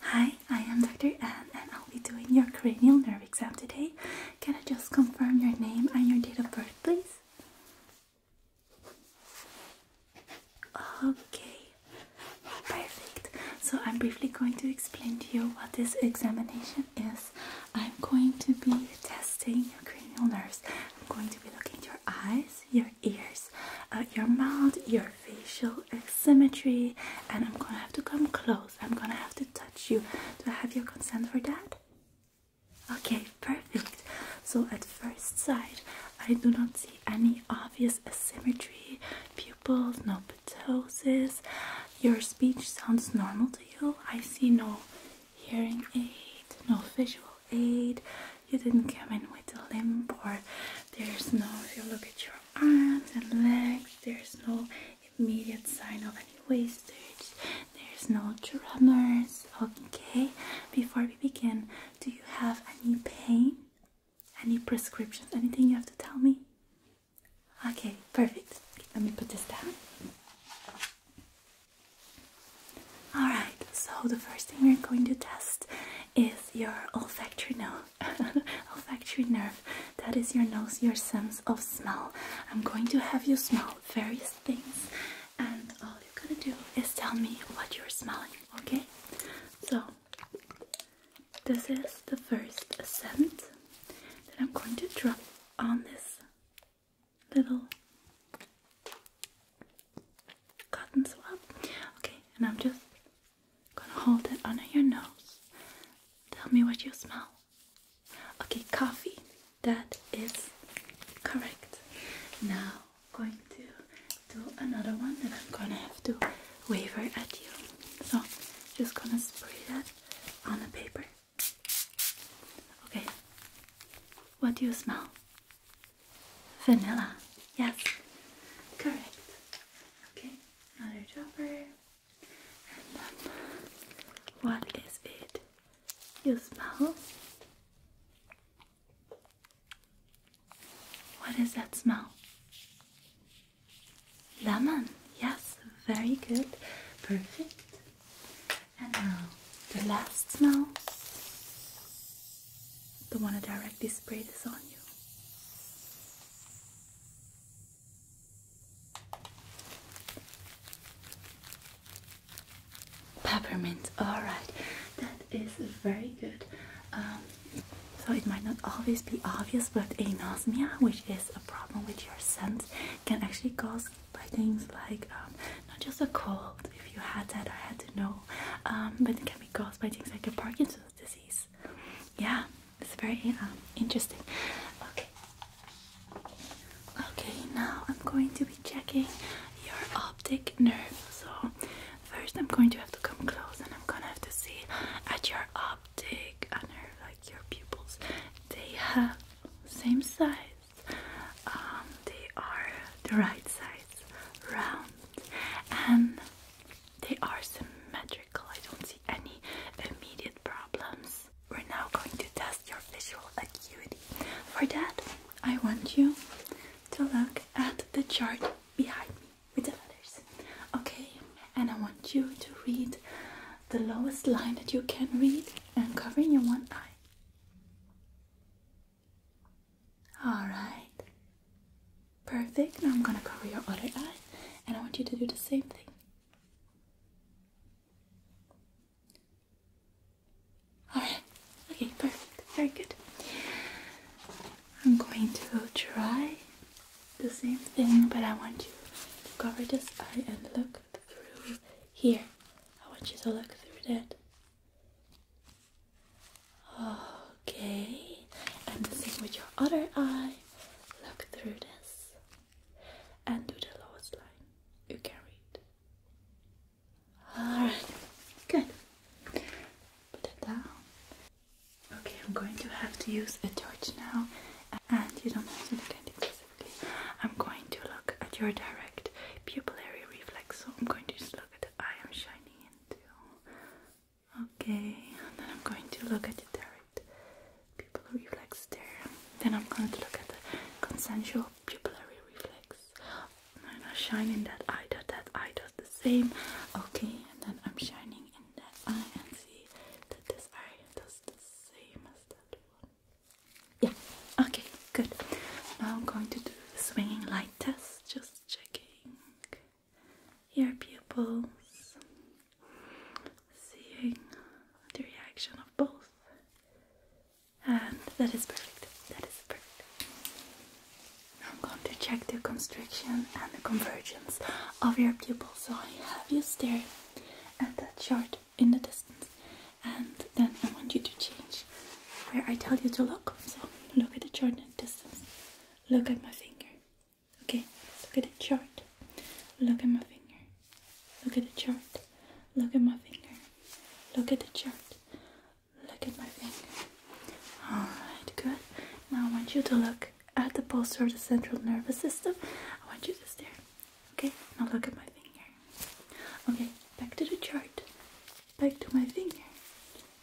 Hi, I am Dr. Anne and I'll be doing your cranial nerve exam today. Can I just confirm your name and your date of birth, please? Okay, perfect. So, I'm briefly going to explain to you what this examination is. I'm going to be testing your cranial nerves. I'm going to be looking at your eyes, your ears, uh, your mouth, your facial asymmetry, and I'm gonna have to come close. I'm gonna have to touch you. Do I have your consent for that? Okay, perfect. So, at first sight, I do not see any obvious asymmetry, pupils, no ptosis. Your speech sounds normal to you. I see no hearing aid, no visual aid. You didn't come in with a limp, or there's no, if you look at your arms and legs. There's no immediate sign of any wastage. There's no tremors. Okay, before we begin, do you have any pain? Any prescriptions? Anything you have to tell me? Okay, perfect. Let me put this down. Alright, so the first thing we're going to test is your olfactory nose olfactory nerve. That is your nose, your sense of smell. I'm going to have you smell various things, and all you gotta do is tell me what you're smelling, okay? So, this is the first scent that I'm going to drop on this little cotton swab. Okay, and I'm just Gonna hold it under your nose. Tell me what you smell. Okay, coffee. That is correct. Now, going to do another one and I'm gonna have to waver at you. So, just gonna spray that on the paper. Okay, what do you smell? Vanilla. Yes, correct. Okay, another dropper, and then what is it? You smell? What is that smell? Lemon, yes, very good, perfect. And now the last smell, the one I directly sprayed this on you. Peppermint, alright, that is very good. Um, so it might not always be obvious, but anosmia, which is a problem with your sense, can actually cause by things like um, not just a cold, if you had that, I had to know, um, but it can be caused by things like a Parkinson's disease yeah it's very uh, interesting okay okay now i'm going to be checking your optic nerve so first i'm going to have to come close and i'm gonna have to see at your optic uh, nerve like your pupils they have same size um they are the right size round and they are symmetrical I don't see any immediate problems. We're now going to test your visual acuity. For that, I want you to look at the chart behind me with the letters. Okay? And I want you to read the lowest line that you can read and covering your one eye. All right. Perfect. Now I'm gonna cover your other eye and I want you to do the same thing. Alright, okay, perfect. Very good. I'm going to try the same thing, but I want you to cover this eye and look through here. I want you to look through that. Okay, and the same with your other eye look through this and do the lowest line you can read. Alright, good. Put it down. Okay, I'm going to have to use a torch now, and you don't have to look at it specifically. I'm going to look at your direct pupillary reflex, so I'm going to just look at the eye I'm shining into. Okay, and then I'm going to look at the direct pupil reflex there. Then I'm going to look at the consensual pupillary reflex. I'm not shining that eye dot, that eye does the same. Okay, and then I'm shining in that eye and see that this eye does the same as that one. Yeah, okay, good. Now I'm going to do the swinging light test, just checking your pupils, seeing the reaction of both. And that is perfect. That is perfect. I'm going to check the constriction and the convergence of your pupils. So I have you stare at that chart in the distance, and then I want you to change where I tell you to look. So look at the chart in the distance. Look at my finger. Okay, look at the chart. Look at my finger. Look at the chart. Look at my finger. Look at the chart. Look at my finger. Alright, good. Now I want you to look at the pulse of the central nervous system. I want you to stare. Okay, now look at my finger. Okay, back to the chart. Back to my finger.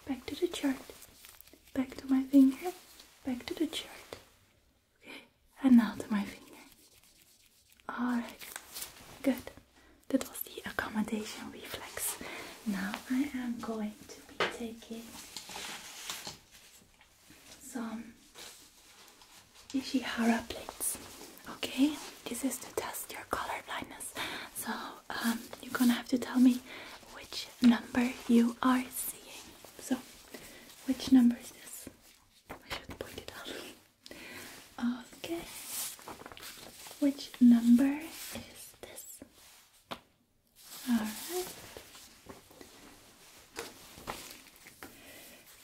Back to the chart. Back to my finger. Back to the chart. Okay, and now to my finger. Alright, good. That was the accommodation reflex. Now I am going to be taking some Ishihara plates. Okay, this is to test your color blindness. So um, you're gonna have to tell me which number you are seeing. So, which number is this? I should point it out. Okay. Which number is this? Alright.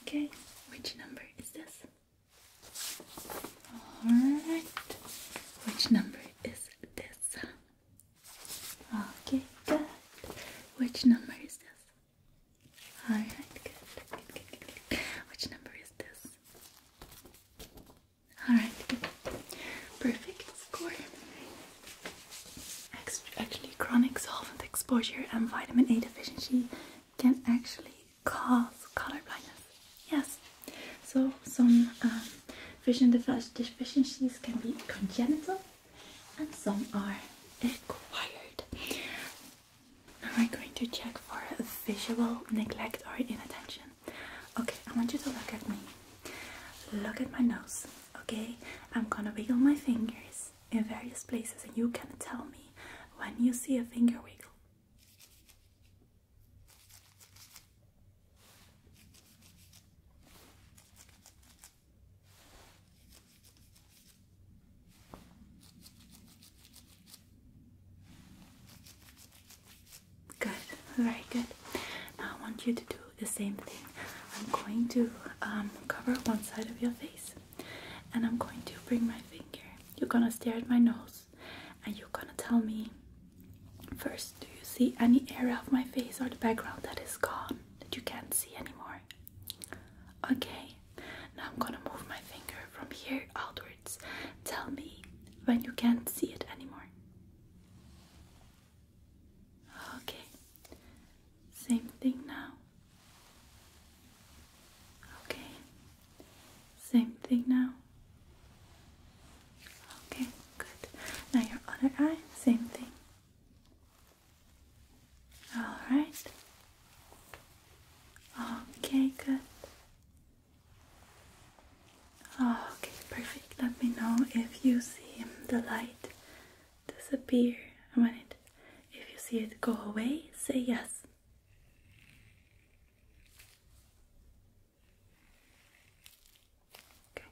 Okay, which number is this? Alright. Which number is this? Okay, good. Which number is this? Alright, good. Good, good, good, good. Which number is this? Alright, good. Perfect score. Actually, chronic solvent exposure and vitamin A deficiency can actually cause color blindness. Yes. So, some um, vision deficiencies can be congenital and some are acquired. Now we're going to check for visual neglect or inattention. Okay, I want you to look at me. Look at my nose, okay? I'm gonna wiggle my fingers in various places and you can tell me when you see a finger wiggle. Good, very good. Now I want you to do the same thing. I'm going to um, cover one side of your face and I'm going to bring my finger. You're gonna stare at my nose and you're gonna tell me first, do you see any area of my face or the background that is gone that you can't see anymore? Okay, now I'm gonna move my finger from here outwards. Tell me when you can't see it anymore. Okay, same thing now. Okay, same thing now. Okay, good. Now your other eye, same thing. All right. Okay, good. Okay, perfect. Let me know if you see the light disappear. I mean, it, if you see it go away, say yes. Okay.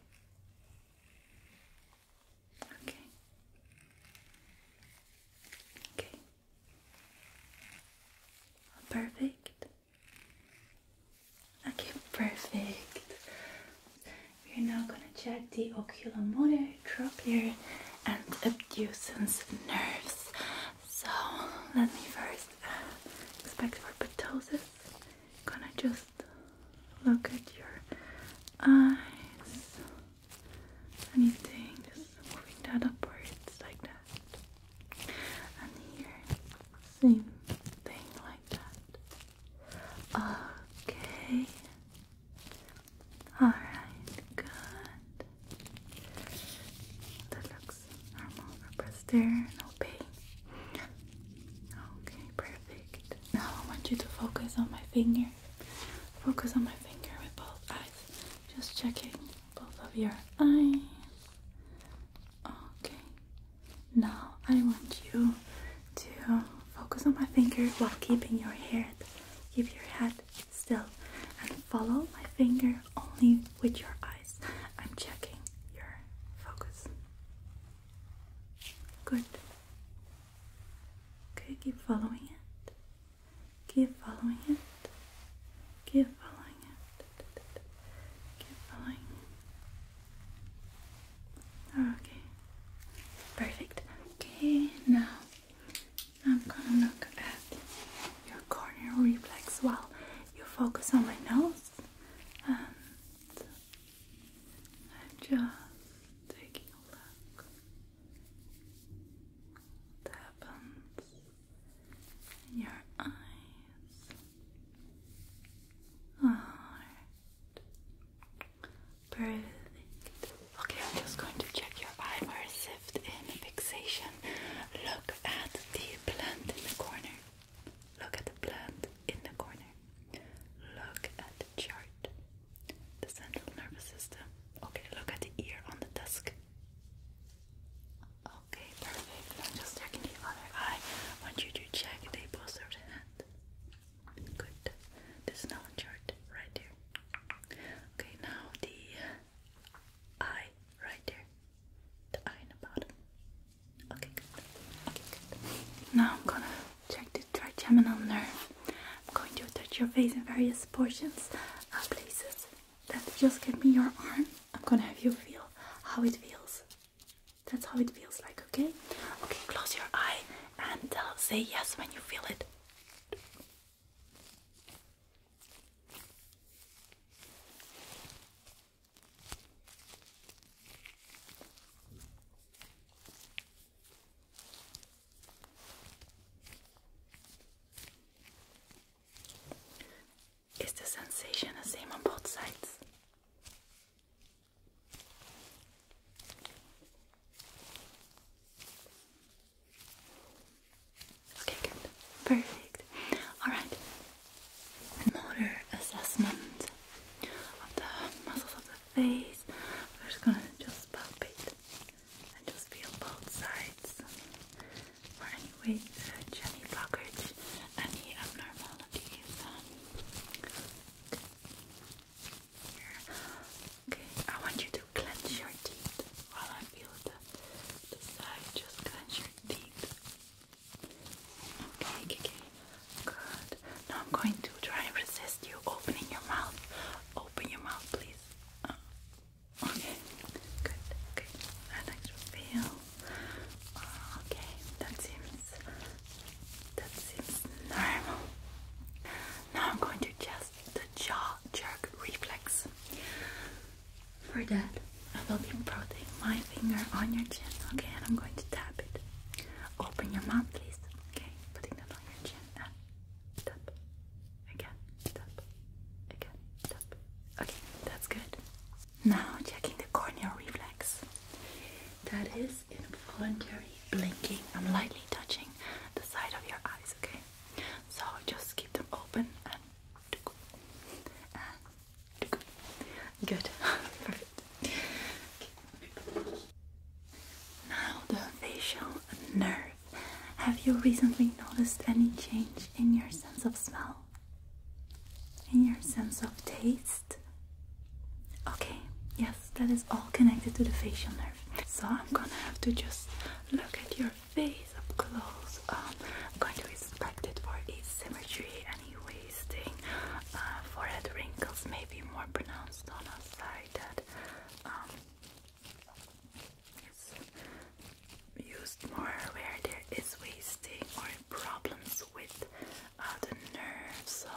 Okay. Okay. Perfect. Okay, perfect. We're now gonna check the oculomotor, trochlear, and abducens nerves. So let me first inspect uh, for ptosis. Gonna just look at your eyes. Anything, just moving that upwards like that. And here, same thing like that. Okay. Alright, good. That looks normal. no pain. Okay, perfect. Now I want you to focus on my finger. Focus on my finger with both eyes. Just checking both of your eyes. Okay. Now I want you to focus on my finger while keeping your head. Keep your head still and follow my finger only with your eyes. I'm checking your focus. Good. Okay, keep following it. Keep following it. Keep following it. Keep following it. Okay. Perfect. Okay, now I'm gonna look at your corneal reflex while you focus on my nose I'm just taking a look what happens in your eyes. Alright. Perfect. Okay, I'm just going to check your eye for a shift fixation. Look at the plant in the corner. Look at the plant in the corner. Look at the chart. The central nervous system. Okay, look at the ear on the desk. Okay, perfect. I'm just checking the other eye. I want you to check the posture of the hand. Good. This is chart right there. Okay, now the eye right there. The eye in the bottom. Okay, good. Okay, good. Now I'm gonna check the trigeminal nerve. I'm going to touch your face in various portions, uh, places. That just give me your arm. I'm gonna have you feel how it feels. That's how it feels like, okay? Okay, close your eye and uh, say yes when you feel it. Is the sensation the same on both sides? Okay, good. Perfect. Alright. Motor assessment of the muscles of the face. We're just gonna just palpate and just feel both sides for any weight, any any abnormalities. Okay, I want you to clench your teeth while I feel the, the side. Just clench your teeth. Okay, okay, good. Now I'm going to try and resist you opening your mouth open your mouth, please. Uh, okay, good. Okay, I'd like feel. Uh, okay, that seems that seems normal. Now I'm going to test the jaw jerk reflex. For that, I will be prodding my finger on your chin. Okay, and I'm going to tap it. Open your mouth, please. Okay, putting that on your chin tap, again, tap, again, tap. Okay, that's good. Now checking the corneal reflex. That is involuntary blinking. I'm lightly touching the side of your eyes, okay? So just keep them open and good. Perfect. Now the facial nerve. Have you recently noticed any change in your sense of smell? In your sense of taste? Okay, yes, that is all connected to the facial nerve. So I'm gonna have to just look at your face up close. Um, I'm going to inspect it for asymmetry, any wasting, uh, forehead wrinkles, maybe more pronounced on a side that um, used more where there is wasting or problems with uh, the nerves. So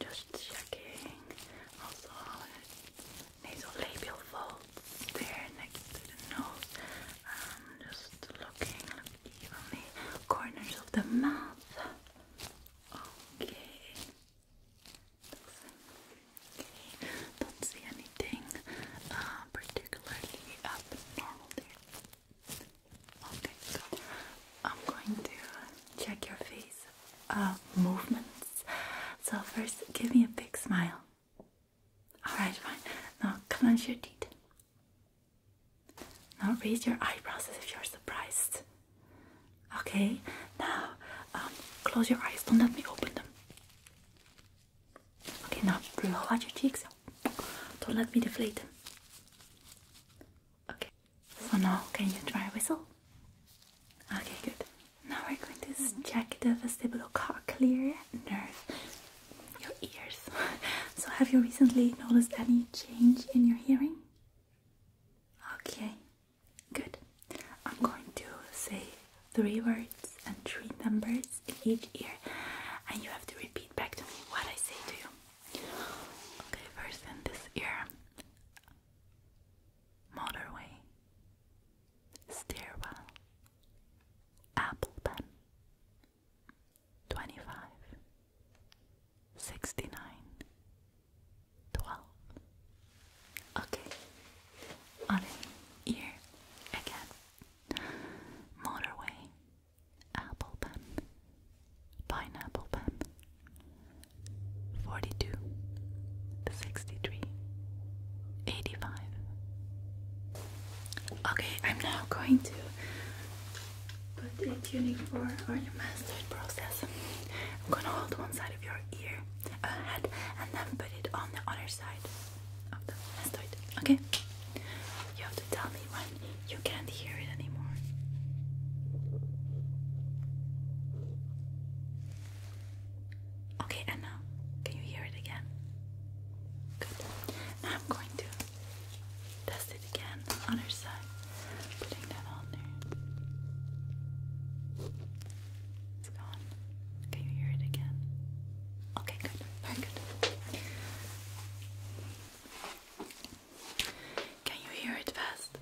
just checking. Also, nasolabial folds there next to the nose. Um, just looking evenly corners of the mouth. Okay. Okay. Don't see anything uh, particularly abnormal there. Okay, so I'm going to check your face uh, movements. So first, give me a big smile. All right, fine. Now clench your teeth. Now raise your eyebrows as if you're surprised. Okay, now um, close your eyes. Don't let me open them. Okay, now blow out your cheeks. Don't let me deflate them. Okay, so now can you try whistle? Okay, good. Now we're going to check the vestibulocochlear nerve, your ears. so, have you recently noticed any change in your hearing? Okay, Good. I'm going to say three words and three numbers in each ear, and you have to repeat back to me what I say to you. Okay, first in this ear motorway, stairwell, apple pen, 25, twelve. Okay, other ear again. Motorway, apple pen, pineapple pen. Forty-two, sixty-three, eighty-five. Okay, I'm now going to put the tuning for our mastered process. I'm gonna hold one side your ear head and then put it on the other side Okay? You have to tell me when you can't hear it anymore. Okay, and can you hear it again? Good. Now I'm going to test it again on her side. Putting that on there. It's gone. Can you hear it again? Okay, good. Very good. Can you hear it fast?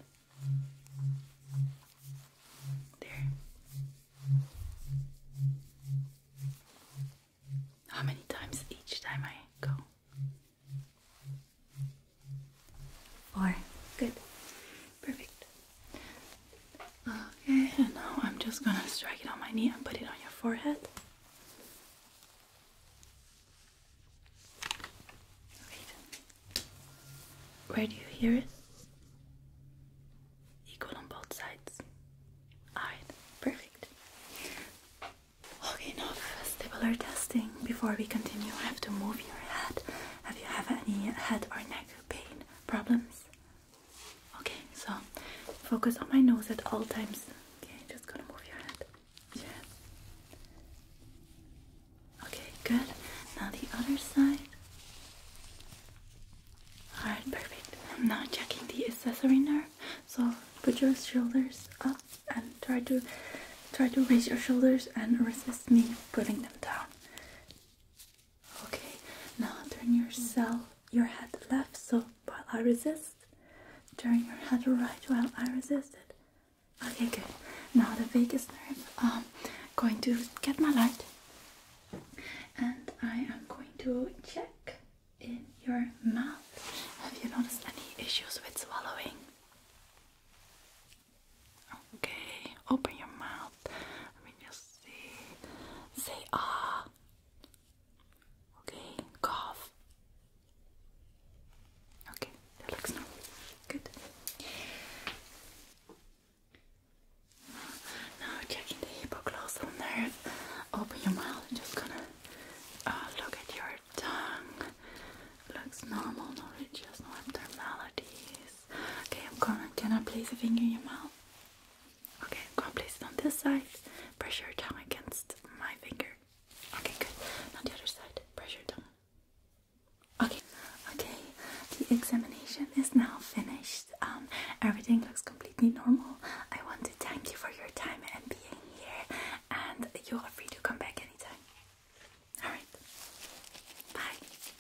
There. How many times each time I go? Four. Good. Perfect. Okay, and now I'm just gonna strike it on my knee and put it on your forehead. Great. Where do you hear it? Equal on both sides. Alright, perfect. Okay, now vestibular testing. Before we continue, I have to move your head. Have you have any head or neck pain? problems? Okay, so focus on my nose at all times. Okay, just gonna move your head. Yeah. Okay, good. Now the other side. Alright, perfect. I'm not checking the accessory nerve. So put your shoulders up and try to try to raise your shoulders and resist me putting them down. Okay, now turn yourself your head left so while I resist. Turn your head right while I resist it. Okay, good. Now the vagus nerve. I'm going to get my light and I am going to check in your mouth. Have you noticed any issues with swallowing? Okay, open your mouth. Let me just see. Say ah. Okay, cough. Okay, that looks normal. Good. Now checking the hypoglossal nerve. Open your mouth. I'm just gonna uh, look at your tongue. Looks normal, no ridges, no abnormalities. Okay, I'm gonna, gonna place a finger in your mouth. Okay, I'm gonna place it on this side. Press your tongue against my finger. Okay, good. Now the other side. Press your tongue. Okay, okay. The examination is now finished. Um, everything looks completely normal. I want to thank you for your time and being here. And you are free to come back anytime. Alright. Bye.